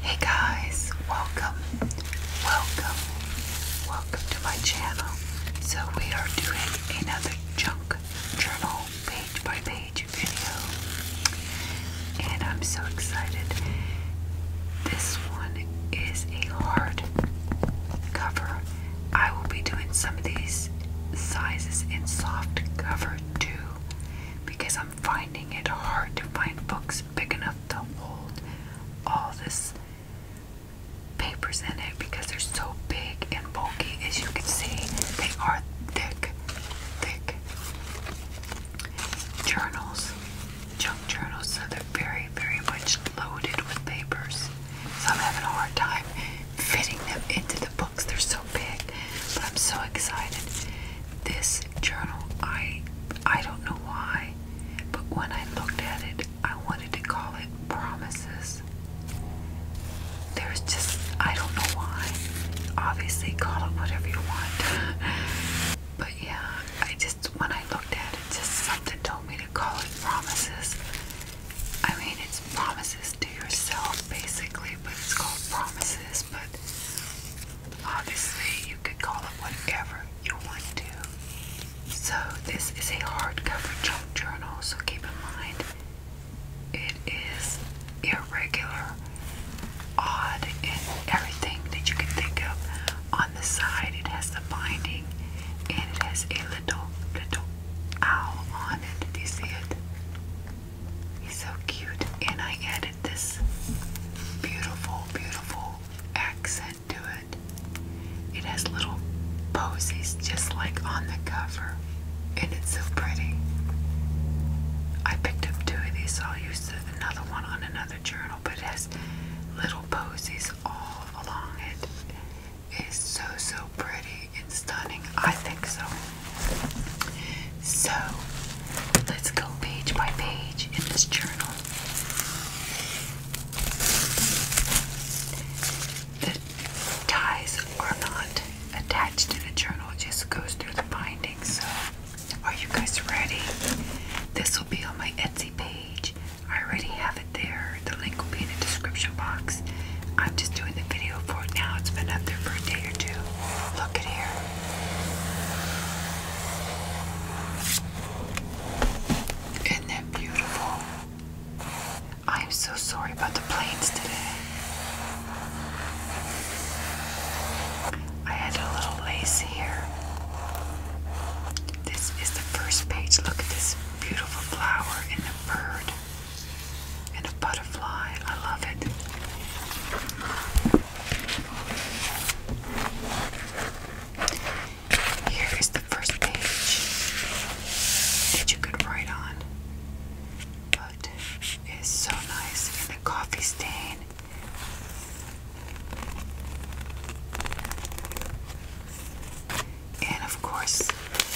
Hey guys, welcome, welcome, welcome to my channel. So we are doing another junk journal page by page video. And I'm so excited. This one is a hard cover I will be doing some of these sizes in soft cover too because I'm finding it hard to find books big enough to hold all this papers in it because they're so big and bulky as you can see they are thick thick journals junk journals so they're very, very much loaded with papers. So I'm having a hard time fitting them into the books. They're so big, but I'm so excited. This journal, I I don't know why, but when I looked at it, I wanted to call it Promises. There's just I don't know why. Obviously, call it whatever you want. But yeah, I just when I looked at it, just something told me to call it Promises. I mean, it's promises to yourself basically, but it's called promises. But obviously, you could call it whatever you want to. So, this is a hardcover junk journal, so keep in mind it is irregular, odd, and everything that you can think of. On the side, it has the binding and it has a little, little owl on it. Do you see it? He's so cute. And I added this beautiful, beautiful accent to it. It has little posies just like on the cover. And it's so pretty. I picked up two of these, so I'll use another one on another journal. But it has little posies all along it. It's so so pretty and stunning. I think so. So let's go page by page in this journal. The ties are not attached in the journal, it just goes through the binding. So, are you guys ready? This will be on my Etsy page. I already have it there. The link will be in the description box. I'm just doing the video for it now. It's been up there for a day or two. Look at here. Isn't that beautiful? I am so sorry about the planes today. I had a little lace here. This is the first page. Look at this beautiful flower and a bird and a butterfly. I love it. Here is the first page that you could write on. But it's so nice in the coffee stain and of course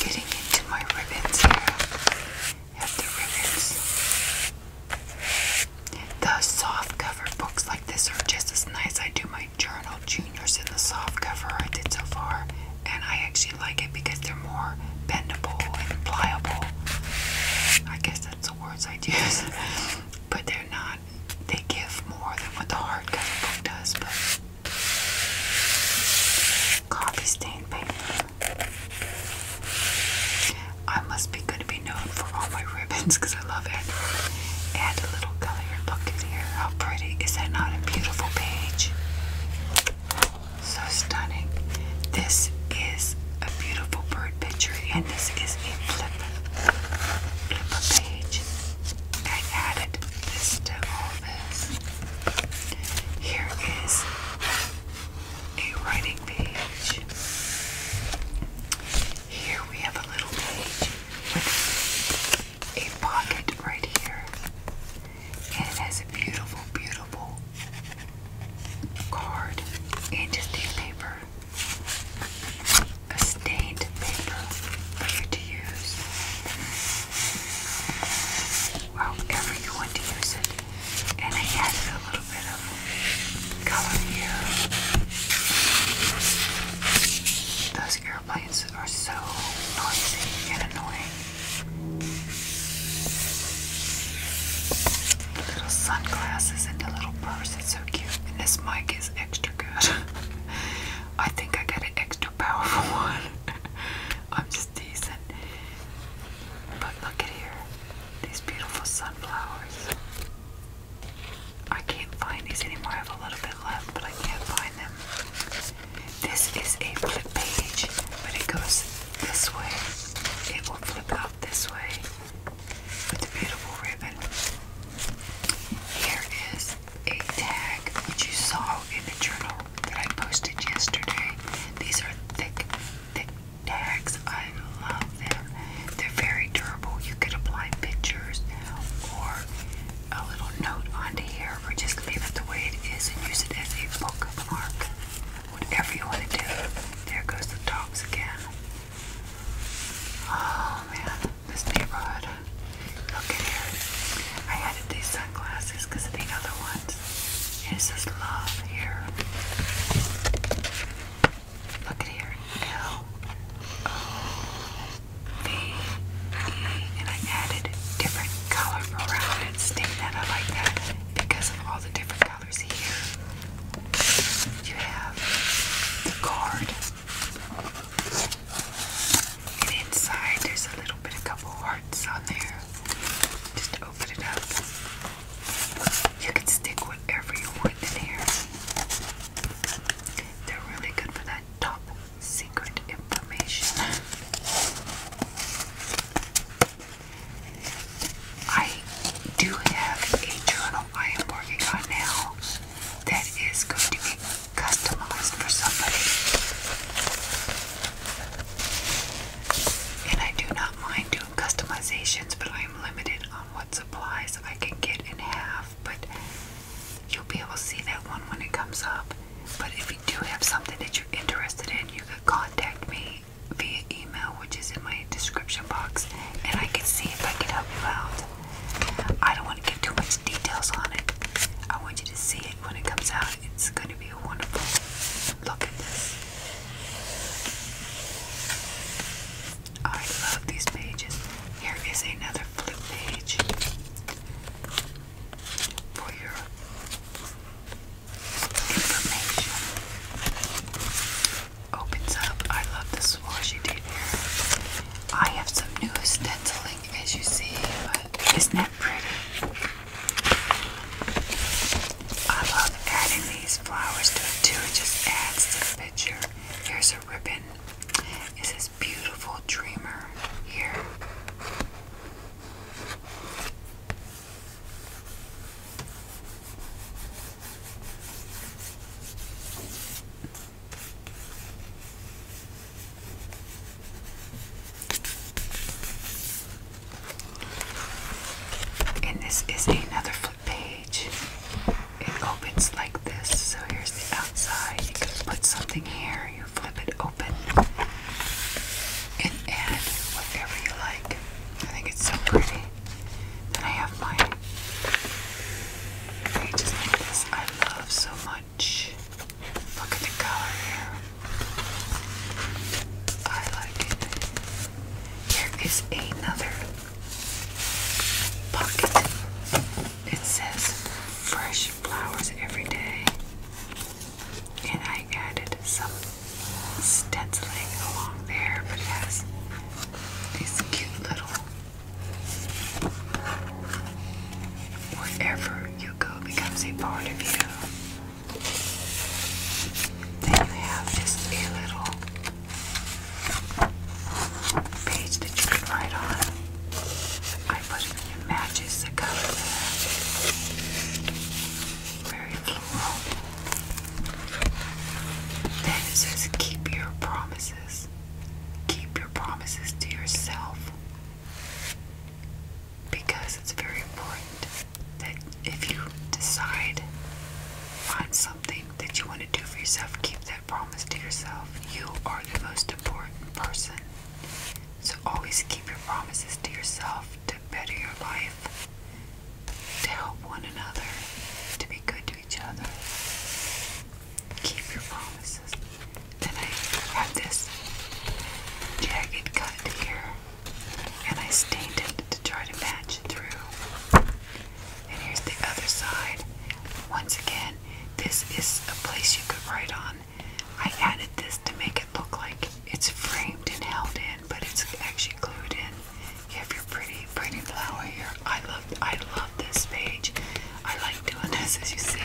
getting into my ribbons here. Have the ribbons. The soft cover books like this are just as nice. I do my journal juniors in the soft cover I did so far, and I actually like it because they're more bendable and pliable. I guess that's the words i use, but they're not. They give more than what the hardcover book does, but Coffee stain paper. I must be good to be known for all my ribbons because I love it. Add a little color. Look here. How pretty. Is that not a beautiful page? So stunning. This is a beautiful bird picture, and this is a flip, flip page. I added this to all Here is a writing page. Here we have a little page with a pocket right here. And it has a beautiful, beautiful card and just a paper a stained paper for you to use however you want to use it. And I added a little bit of color here. Those airplanes are so noisy and annoying. little sunglasses and the little purse, it's so cute. And this mic is extra good. I think I got an extra too powerful one. I'm just decent. But look at here. These beautiful sunflowers. I can't find these anymore. I have a little bit left, but I can't find them. This is a flip page, but it goes this way. It will flip out this way with the beautiful ribbon. Here is a tag which you saw in the journal that I posted yesterday. These are thick, thick tags. I love them. They're very durable. You could apply pictures or a little note onto here or just leave it the way it is and use it as a bookmark. Whatever you want to do. There goes the tops again. Oh man this neighborhood. Look at here. I added these sunglasses because of the other ones. It says love here. Look at here. L O V E. And I added different color around it. I like that because of all the different colors here. You have the card. And inside there's a little bit, a couple hearts on there. Just open it up. You can stick whatever you want in here. They're really good for that top secret information. I do have a journal I am working on now that is going to be customized for somebody. And I do not mind doing customizations, but I am limited on what supplies I can get and have. But you'll be able to see that one when it comes up. But if you do have something that you're interested in, you could contact me via email, which is in my description box, and I can see if I can help you out. I don't want to give too much details on it. I want you to see it when it comes out. It's going to be a wonderful look at this. I love these pages. Here is another flip page for your information. Opens up. I love the swoosh you I have some new stenciling think as you see, isn't that pretty? I love adding these flowers to it It just adds to the picture. Here's a ribbon. It says beautiful dreamer here. And this is another flip page. It opens like this. So here's the outside. You can put something here, you flip it open, and add whatever you like. I think it's so pretty. Then I have my pages like this. I love so much much. Look at the color. I like it. Here is another bucket. It says fresh flowers every day. And I added some stenciling along there, but has these cute little Wherever you go becomes a part of you. Then you have just a little page that you can write on. I put in matches the color Very floral. Then it says keep your promises. Keep your promises to yourself because it's very important that if you decide on something that you want to do for yourself, keep that promise to yourself. You are the most important person. So always keep your promises to yourself to better your life, to help one another, to be good to each other. Keep your promises. Then I have this jagged cut here, and I stained it to try to match it through. And here's the other side. Once again, this is a place you could write on. I added this to make it look like it's framed and held in, but it's actually glued in. You have your pretty, pretty flower here. I love, I love this page. I like doing this as you see.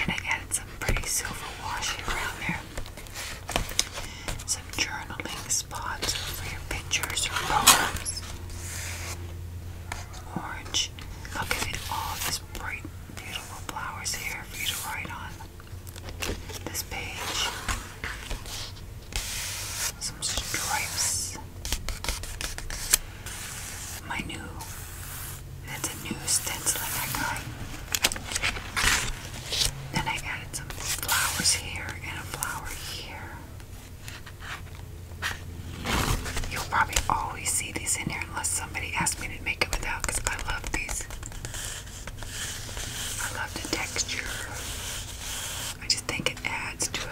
And I added some pretty silver wash around there. Some journaling spots for your pictures or poems. Orange. I'll give it, all these bright, beautiful flowers here for you to write on. This page. Some stripes my new that's a new stenciling I got. Then I added some flowers here and a flower here. You'll probably always see these in here unless somebody asks me to make it without I love these. I love the texture. I just think it adds to it.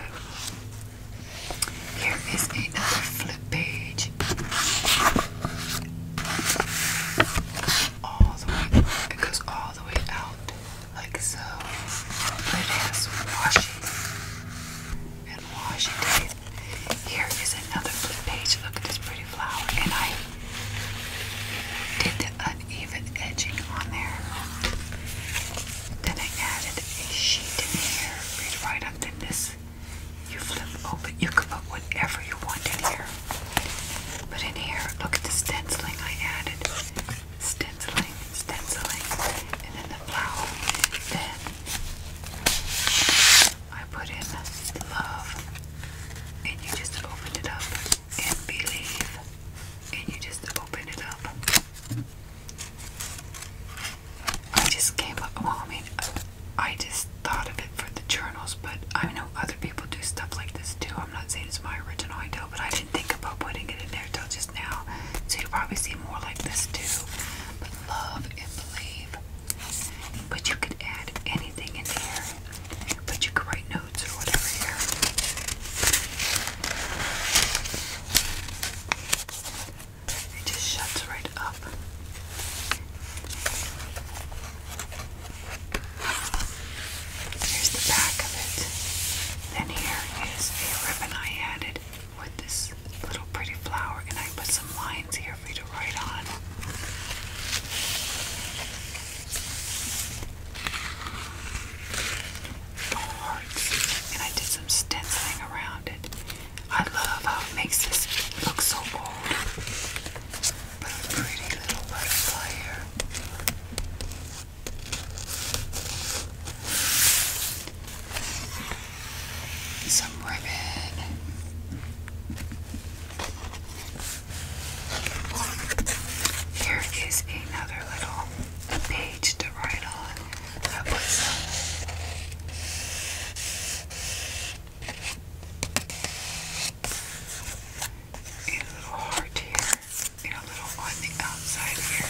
Here is another flip page. All the way, it goes all the way out like so. it has washi and washi tape. Here is another flip page. Look at this pretty flower, and I did the uneven edging on there. Then I added a sheet in here for you this you flip open. You can put whatever you want in here. But in here, look at the stenciling I added. Stenciling, stenciling, and then the flower. Then I put in love, and you just open it up and believe, and you just open it up. I just came up, well, I mean, I just thought of it for the journals, but I know other people do stuff like this too. I'm not saying it's my original idea, but I didn't think about putting it in there till just now. So you'll probably see more like this too. But love and believe. But you could add anything in there. But you could write notes or whatever here. It just shuts right up. Here's the back of it. Then here is a ribbon I added with this little pretty flower, and I put some lines here for you to write on. Hearts, and I did some stenciling around it. I love how it makes this look so old. But a pretty little butterfly here. Some ribbon. Here is another little page to write on a little heart here, and a little on the outside here.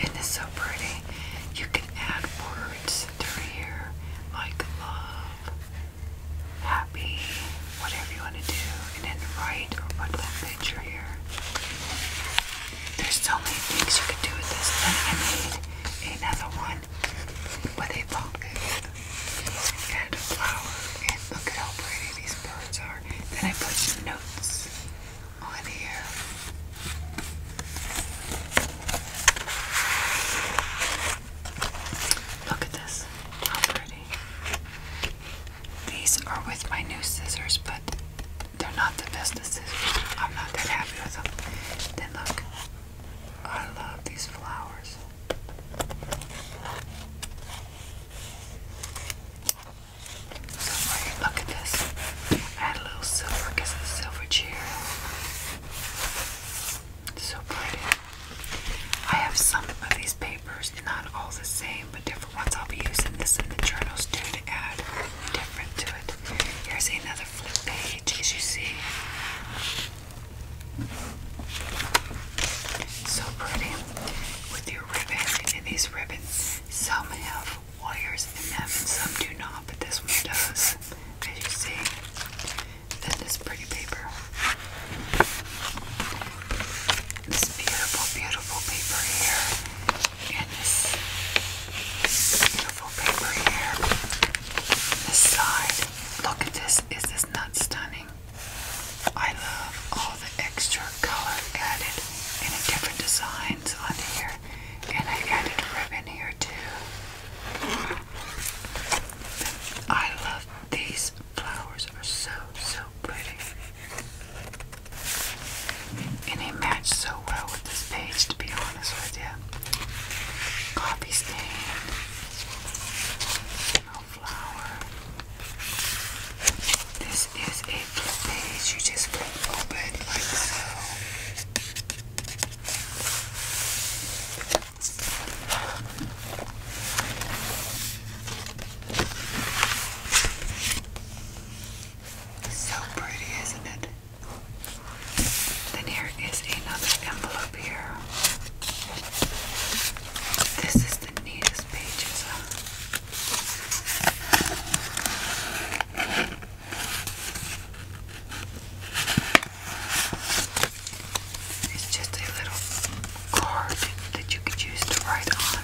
And it's so pretty. You can add words through here like love, happy, whatever you want to do, and then write or put that picture here. There's so many things you could do with this. Then I made another one with a pumpkin and a flower, and look at how pretty these birds are. Then I put some notes on here. Look at this. How pretty. These are with my new scissors, but they're not the best scissors. I'm not that happy with them. Then look, I love these flowers. look at this. Add a little silver because the silver cheer. So pretty. I have some of these papers, not all the same, but different ones. I'll be using this in the journals too to add different to it. Here's another flip page, as you see. So pretty with your ribbon and these ribbons. Some have wires in them and some do not, but this one does, as you see. Then this pretty paper. This beautiful, beautiful paper here. And this beautiful paper here. This side. Look at this. Is this not stunning? I love all the extra color added and the different designs on here. And I added ribbon here too. I love these flowers are so, so pretty. And they match so well with this page, to be honest with you. Coffee stain, no flower. This is a page. You just flip open like so. So pretty, isn't it? Then here is another envelope here. This is the neatest pages. It's just a little card that you could use to write on.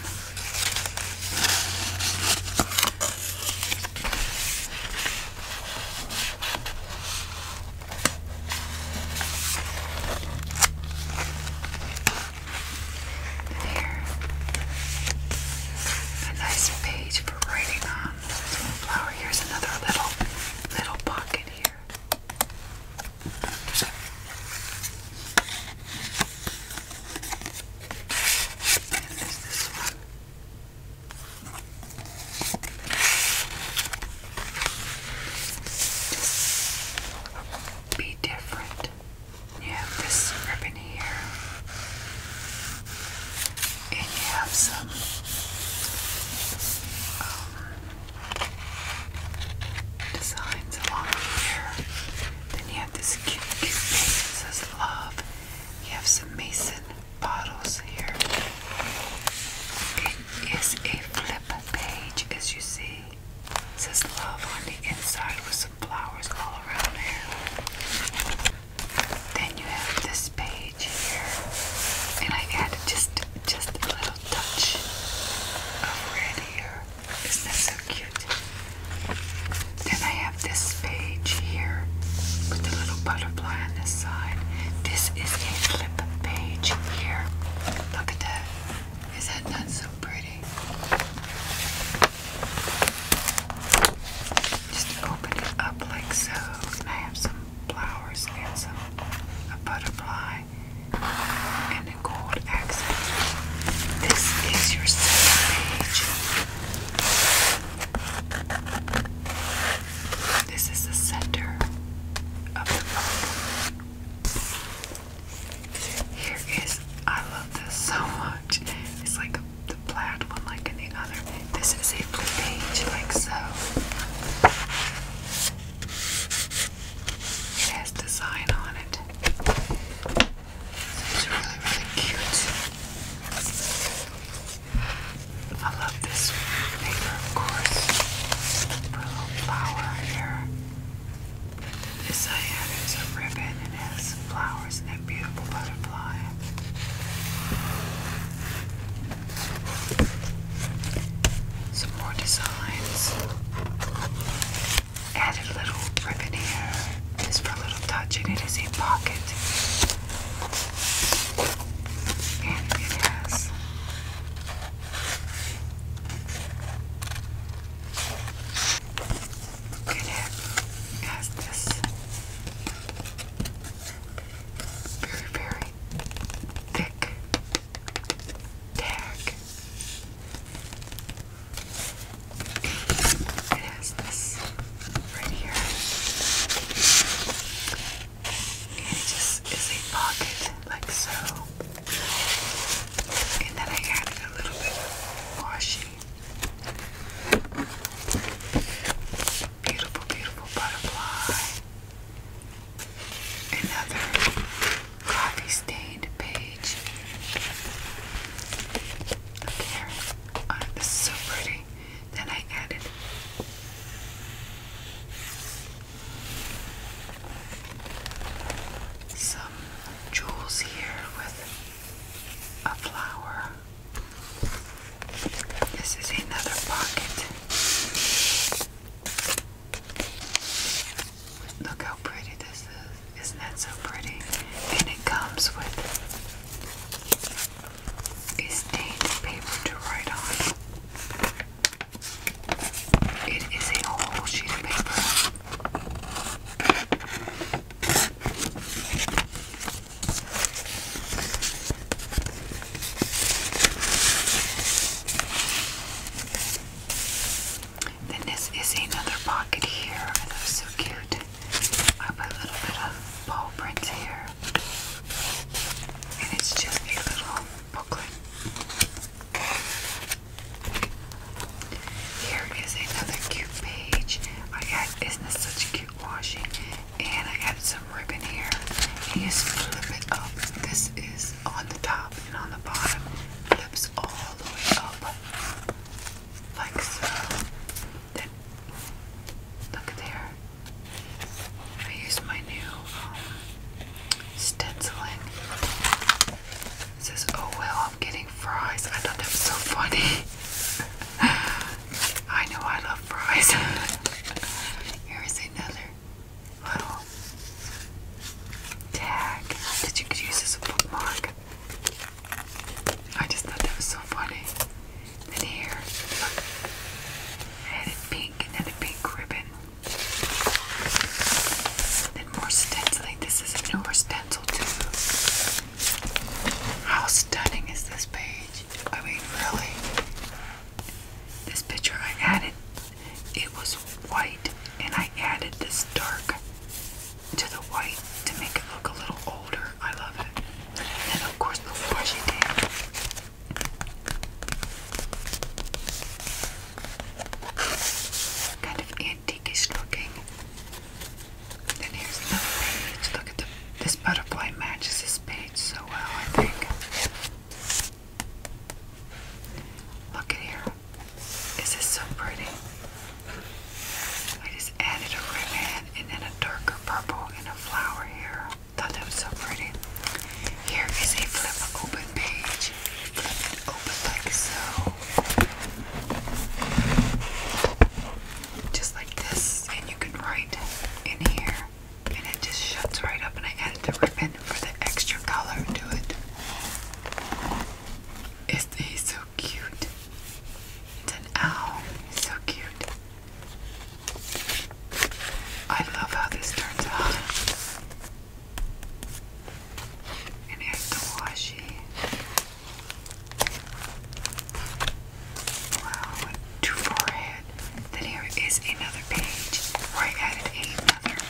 There. A nice page for writing on. Flower. Here's another little little pocket here. And Be different. You have this ribbon here, and you have some um, designs along here. Then you have this cute, cute thing that says love. You have some mason bottles here. It is a flip page, as you see. It says love on the inside with some flowers all around here. Then you have this page here, and I added just just a little touch of red here. Isn't that so cute? Then I have this page here with the little butterfly on the side. This is a flip page here. Look at that. Is that not so pretty? Just open it up like so. And I have some flowers and some a butterfly and a gold accent. This is your second page. This is the center of the book. Here is, I love this so much. It's like the plaid one, like in other. This is a flip page, like so. It has design on it. So it's really, really cute. I love this paper, of course. Put a little flower here. This I had is a ribbon and has flowers and that beautiful butterfly. Some more design lines. Added little ribbon here, just for a little touch, and it is a pocket. And it has it has this very, very thick tag. It has this right here. And it just is a pocket like so. And then I added a little bit of washi. Beautiful, beautiful butterfly another coffee stained page. Look here. Oh, this is so pretty. Then I added some jewels here with a flower. This is another pocket. Look how pretty this is. Isn't that so pretty? And it comes with a stained paper to write on. It is a whole sheet of paper. Then this is another pocket here. Oh, that's so cute. I put a little bit of paw prints here. And it's just a little booklet. Here is another cute page. I got, isn't this such a cute washi? And I added some ribbon here. And you just flip it up. This is on the top and on the bottom flips all the way up like so. Then look there. I use my new um, stenciling. It says, "Oh well, I'm getting fries." I thought that was so funny. I know I love fries. Here is another little tag that you could use as a bookmark. I just thought that was so funny. Then here, look, pink and then a pink ribbon. Then more stenciling. This is a newer stencil too. How stunning is this page? I mean, really. This picture I added it was white, and I added this dark to the white to make it look a little older. I love it. And of course, the washi tape. Kind of antiquish looking. Then here's another page. Look at the, this butterfly matches this page so well, I think. Look at here. this so pretty? I just added a ribbon and then a darker purple and a flower here. Thought that was so pretty. Here is a flip open page. open like so. Just like this. And you can write in here. And it just shuts right up. And I added the ribbon for the extra color to it. It's he's so cute. It's an owl. He's so cute. I love how this turns out. And here's the washi. Wow, too far Then here is another page where I added another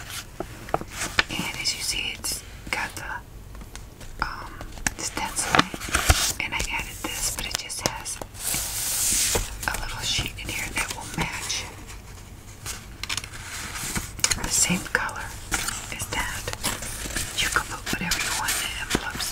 and as you see it's got the um, stenciling and I added this but it just has a little sheet in here that will match the same color as that. You can put whatever you want in the envelope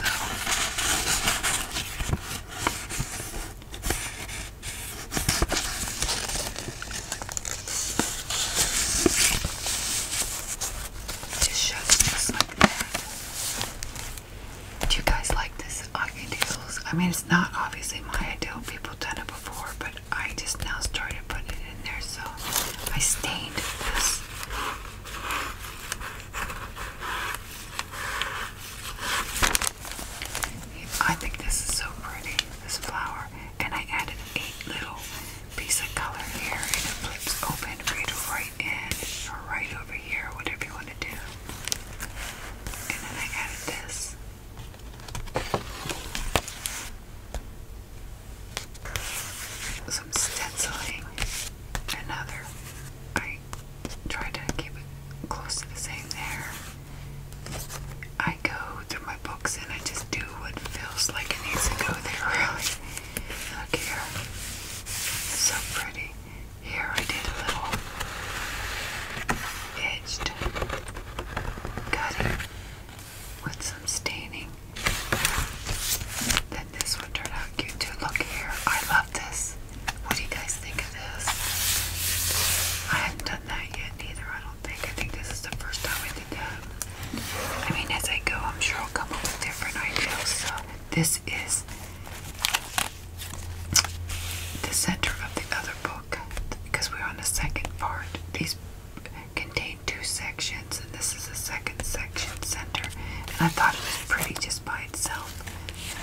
do you guys like this Ugly I mean, it's not obviously my ideal. People done it before, but I just now started putting it in there, so I stained this. I think this is so pretty this flower, and I added a little piece of color here, and it flips open right in or right over here, whatever you want to do. And then I added this. Some stenciling. Another. I tried to keep it close to the same there. I go through my books and I just do what feels like it needs to go there, really. Look here. so pretty. Here I did a little edged cutting with some staining. Then this one turned out cute too. Look here. I love this. What do you guys think of this? I have done done yet either, I don't think. I think this is the first time I did that. I mean, as I go, I'm sure I'll come up with different ideas. So, this is the center of the other book because we're on the second part. These contain two sections, and this is the second section center. And I thought it was pretty just by itself.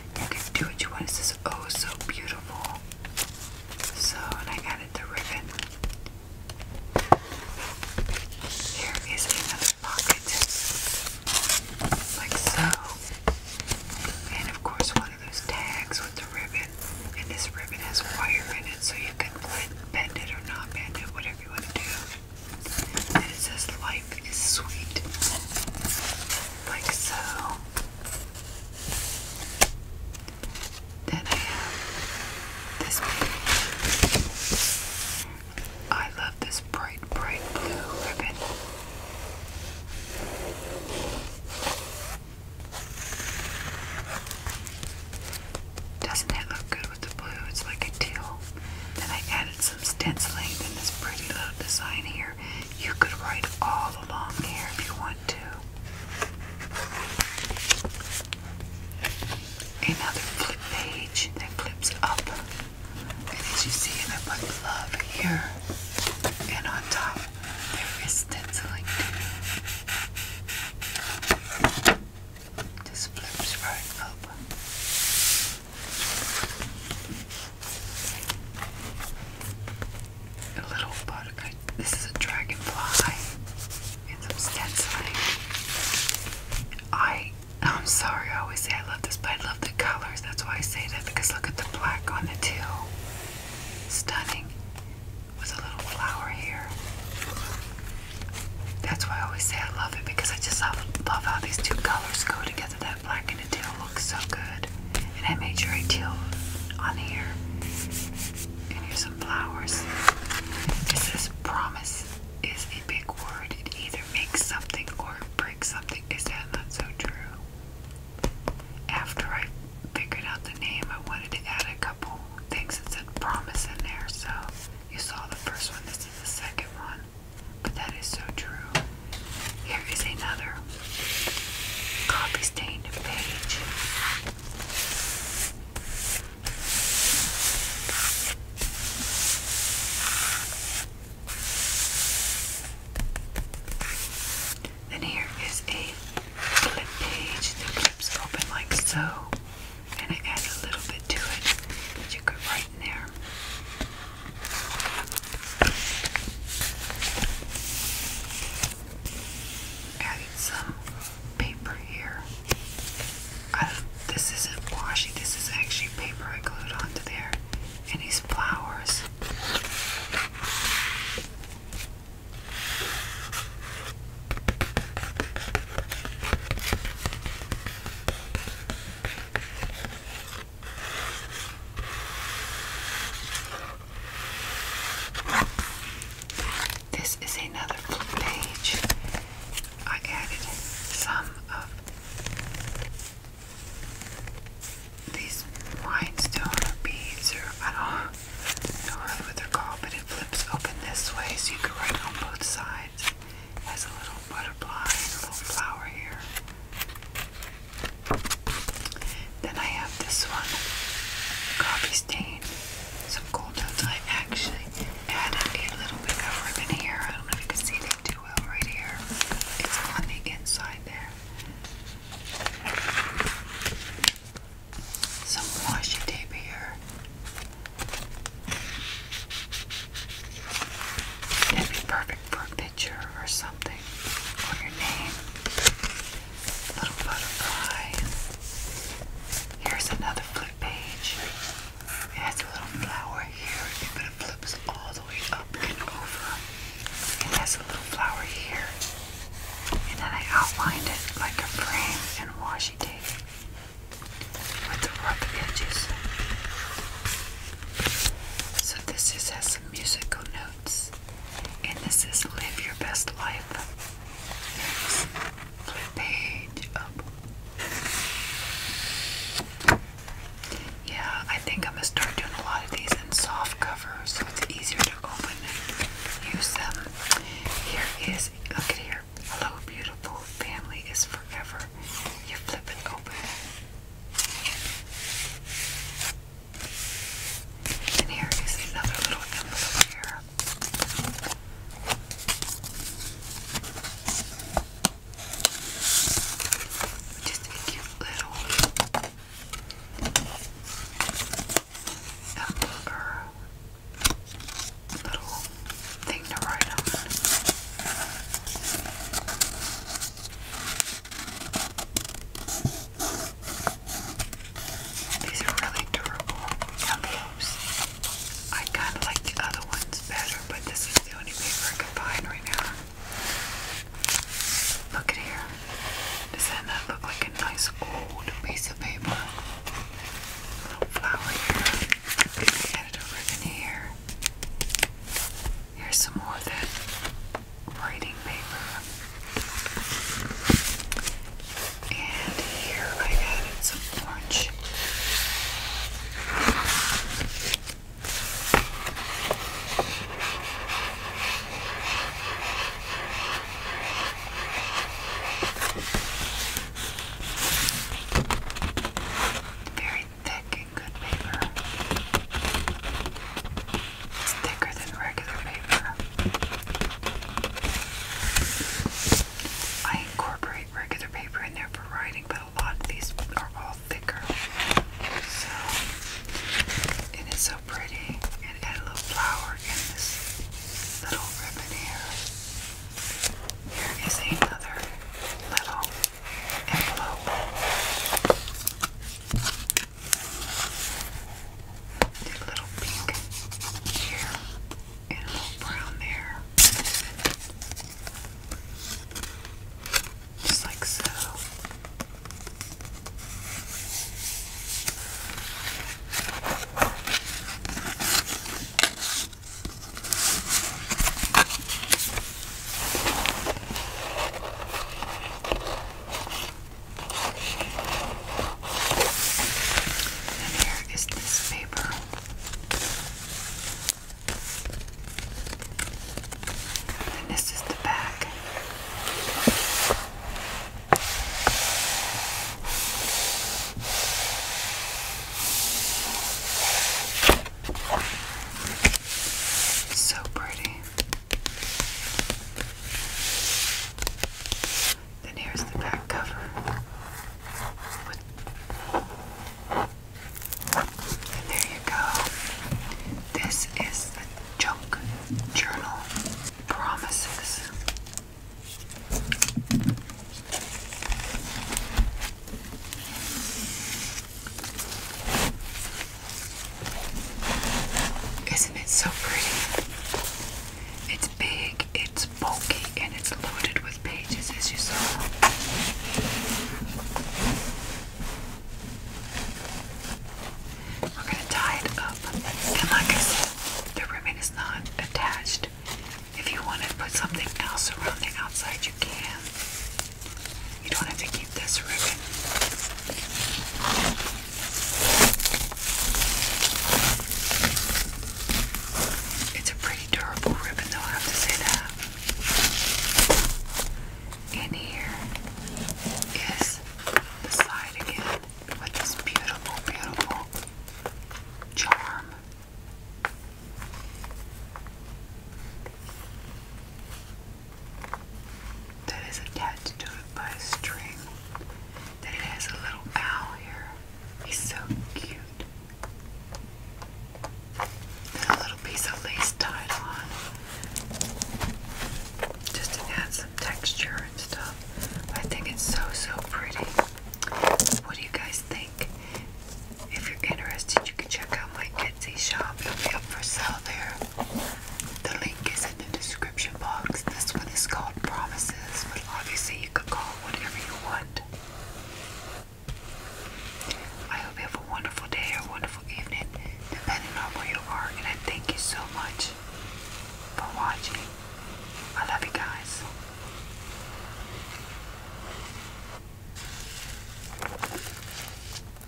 You can do what you want. It says, Oh, so beautiful. So, I added the ribbon. There is another pocket, like so. And of course, one of those tags with the ribbon. And this ribbon has wire in it, so you can bend it or not bend it, whatever you want to do. And it says, Life is sweet. Like so. Then I this I love this bright, bright blue ribbon. Doesn't it look good with the blue? It's like a teal. Then I added some stenciling and this pretty little design here. You could write all along here if you want one Another flip page that flips up. And as you see, I put love here. And on top, there is stenciling too. Just flips right up a little butterfly. This is a dragonfly and some stenciling. I, I'm sorry, I always say I love this, but I love the colors. That's why I say that because look at the black on the teal. Stunning. With a little flower here. That's why I always say I love it because I just love, love how these two colors go together. That black and the teal looks so good and I made sure I teal on here. And here's some flowers. This is promise is a big word. It either makes something or breaks something. Is that not so true? After I figured out the name, I wanted to add a couple things that said promise in there. So you saw the first one, this is the second one. But that is so true. Here is another copy stained page. Then here is a clip page. The clips open like so, and it adds a little bit to it that you could write in there adding some paper here. this isn't washi, this is actually paper I glued onto there. And these flowers. This is another page. I added some of these rhinestone beads, or I don't know what they're called, but it flips open this way so you can write on both sides. has a little butterfly, a little flower here. Then I have this one, copy stain, some cool notes. I actually added a little bit of ribbon here. I don't know if you can see that too well right here. It's on the inside there. Some washi tape here. That'd be perfect for a picture or something, or your name. Little butterfly. Here's another flip page. It has a little flower here, but it flips all the way up and over. It has a little flower here. And then I outlined it like a frame in washi tape with the rough edges. So this just has some musical notes. And this is Live Your Best Life. flip page up. Yeah, I think I'm going to start doing a lot of these in soft cover so it's easier to open use them. Here is, look at here. Hello, beautiful. Family is forever. You flip it open. And here is another little envelope here. Just a cute little envelope little thing to write on. These are really durable envelopes. I kind of like the other ones better, but this is the only paper I can find right now. Look at here. Does that look like a nice old piece of paper? little flower here. Editor ribbon here. Here's some more of that writing paper. And here I added some orange. Very thick and good paper. It's thicker than regular paper. I incorporate regular paper in there for writing, but a lot these are all thicker. So, it's so pretty. And add a little flower in this little ribbon here. Here is another little envelope a little pink here and a little brown there. Just like so. And here is this paper. And this is the back. So pretty. Then here's the back cover and there you go. This is the Junk Journal Promises. Isn't it so pretty? It's big, it's bulky, and it's loaded with pages, as you saw. We're going to tie it up. And like I said, the ribbon is not attached. If you want to put something else around the outside, you can. You don't have to this ribbon. It's a pretty durable ribbon, though, I have to say that. And here is the side again with this beautiful, beautiful charm that is attached to it by a string. That it has a little owl here. He's so cute. Then a little piece of lace tied on. Just to add some texture and stuff. I think it's so, so pretty. What do you guys think? If you're interested, you can check out my Etsy shop. It'll be up for sale there. The link is in the description box. This one is called Promises, but obviously you could call whatever you want. I hope you have a wonderful day or wonderful evening, depending on where you are, and I thank you so much for watching. I love you guys.